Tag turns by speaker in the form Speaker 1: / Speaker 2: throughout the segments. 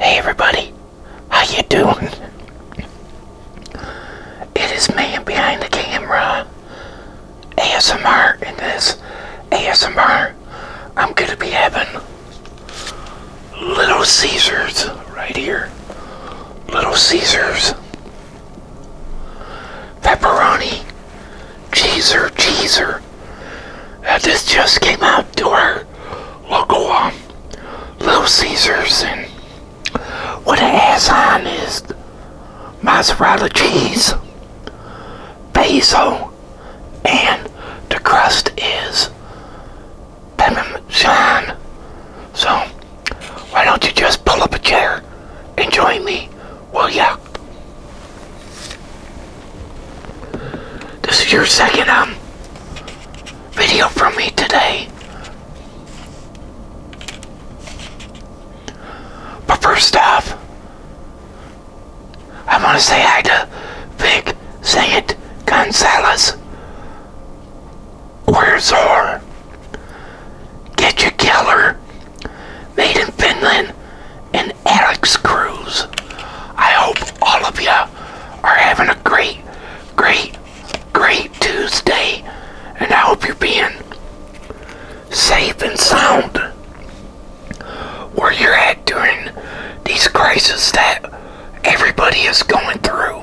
Speaker 1: Hey everybody, how you doing? It is man behind the camera, ASMR, and this ASMR, I'm going to be having Little Caesars right here. Little Caesars. Pepperoni, cheeser, cheeser. And this just came out to our local um, Little Caesars, and what it has on is mozzarella cheese, basil, and the crust is parmesan. So, why don't you just pull up a chair and join me, will ya? This is your second um video from me today. But first off, I want to say hi to Vic Saint Gonzalez. Where's her? Get your killer. Made in Finland and Alex Cruz. I hope all of you are having a great, great, great Tuesday, and I hope you're being safe and sound where you're at during these crises that everybody is going through.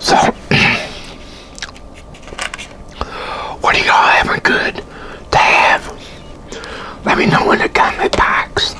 Speaker 1: So, what are y'all having good to have? Let me know in the comment box.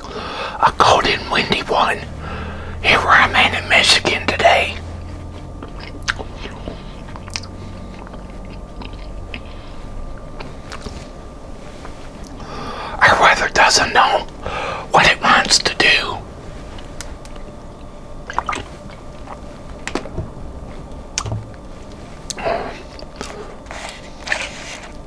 Speaker 1: a cold and windy one here where I'm in Michigan today. Our weather doesn't know what it wants to do.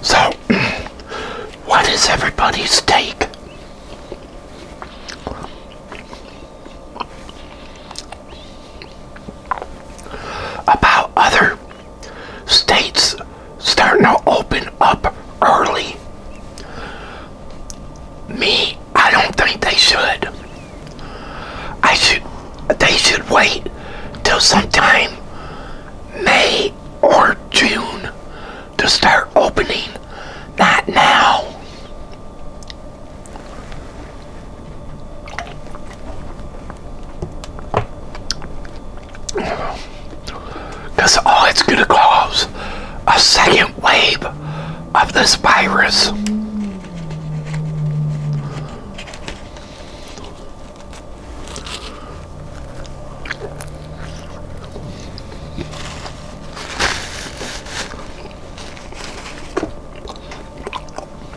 Speaker 1: So, what is everybody's take? about other states starting to open up early. Me, I don't think they should. I should they should wait till sometime May or June to start opening, not now. Because all it's going to cause a second wave of this virus.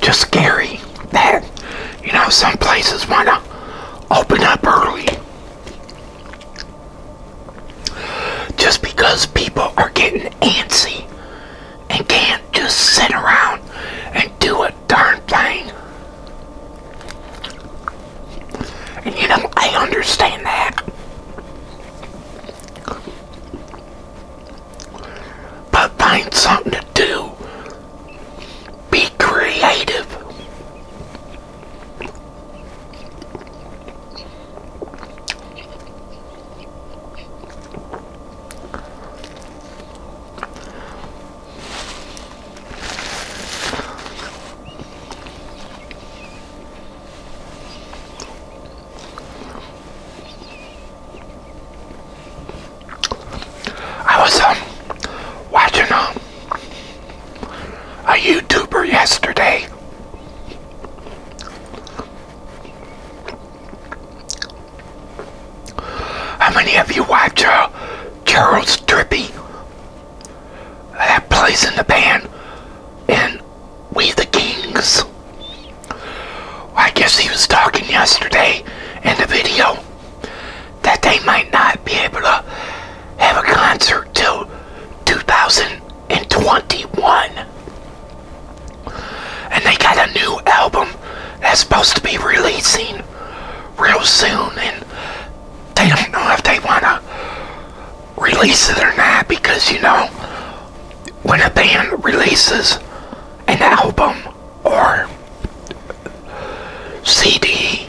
Speaker 1: just scary that, you know, some places want to open up early just because people are getting antsy and can't just sit around and do a darn thing. And you know, I understand that. But find something to do. Be creative. I was um, watching um, a YouTuber yesterday. How many of you watched uh, Charles Trippy? That plays in the band in we the Kings. I guess he was talking yesterday in the video that they might not be able to have a concert till 2021. And they got a new album that's supposed to be releasing real soon and they don't know if they want to release it or not because you know when a band releases an album or CD,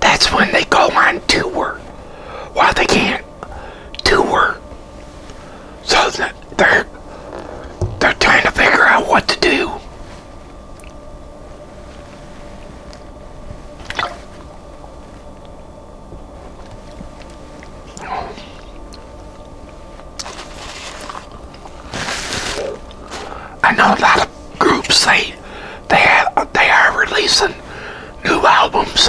Speaker 1: that's when they go on tour. While they can't tour, so they're they're trying to figure out what to do. I know a lot of groups say they have, they are releasing new albums.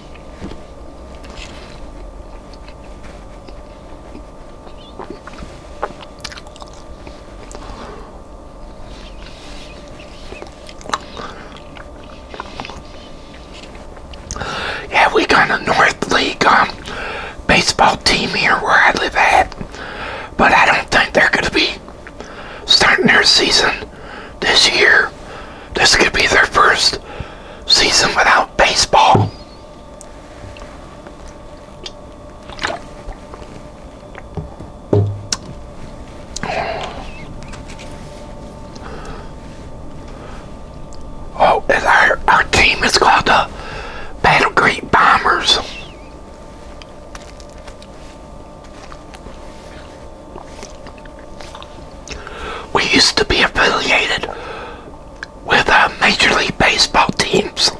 Speaker 1: Yeah, we got a North League um, baseball team here where I live at, but I don't think they're going to be starting their season this year. This could be their first season without baseball. Oh, our team is called the Battle Creek Bombers. We used to be affiliated with uh, Major League Baseball teams,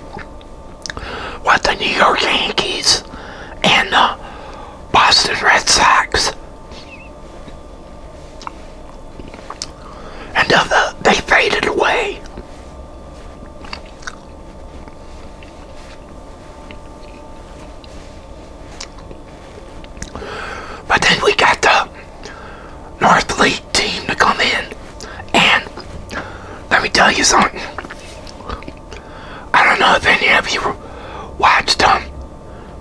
Speaker 1: with the New York Yankees and the uh, Boston Red Sox. And uh, they faded away. But then we got the North League team to come in. And let me tell you something. I don't know if any of you watched um,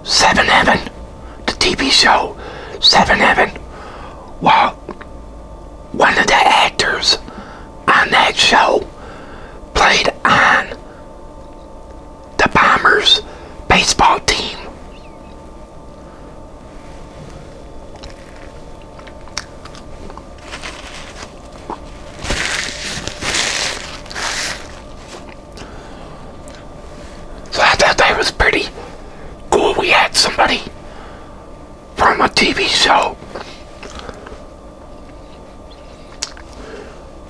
Speaker 1: Seven Heaven, the TV show Seven Heaven. Well, one of the actors on that show played on the Bombers baseball team. So I thought was pretty cool. We had somebody from a TV show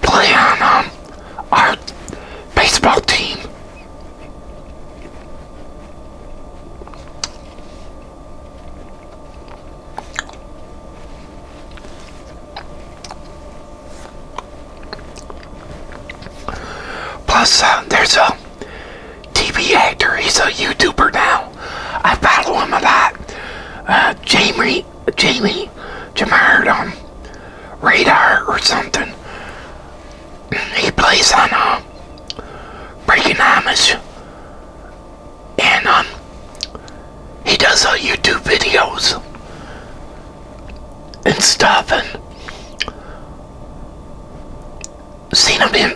Speaker 1: play on um, our baseball team. Plus, uh, there's a TV actor. He's a YouTuber now. I follow him a lot. Uh, Jamie like Jamie Jamard on um, Radar or something. He plays on uh, Breaking Amish. And um, he does uh, YouTube videos and stuff. And seen him in,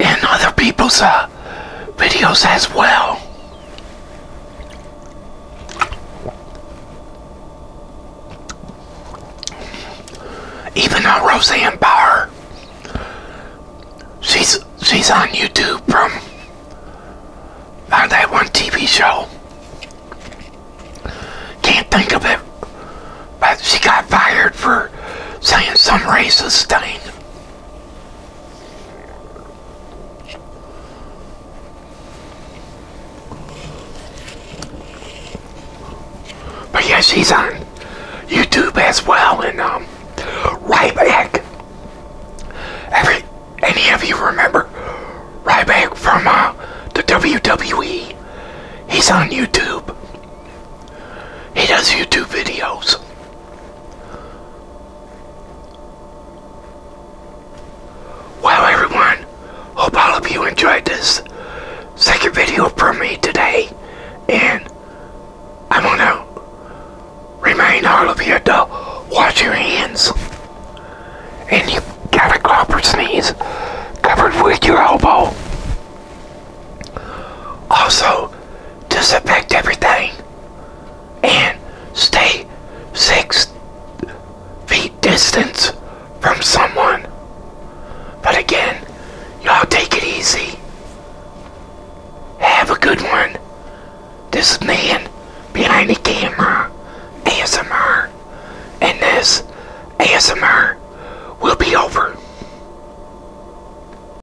Speaker 1: in other people's uh, videos as well. Even though Roseanne Barr, she's she's on YouTube from uh, that one TV show. Can't think of it, but she got fired for saying some racist thing. But yes, he's on YouTube as well, and um, Ryback. Every any of you remember Ryback from uh, the WWE? He's on YouTube. He does YouTube videos. Well, everyone, hope all of you enjoyed this second video from me today, and I'm gonna remind all of you to wash your hands, and you got a cough or sneeze covered with your elbow. Also, disinfect everything and stay six feet distance from someone. But again, y'all take it easy. Have a good one. This man behind the camera, ASMR, and this ASMR will be over.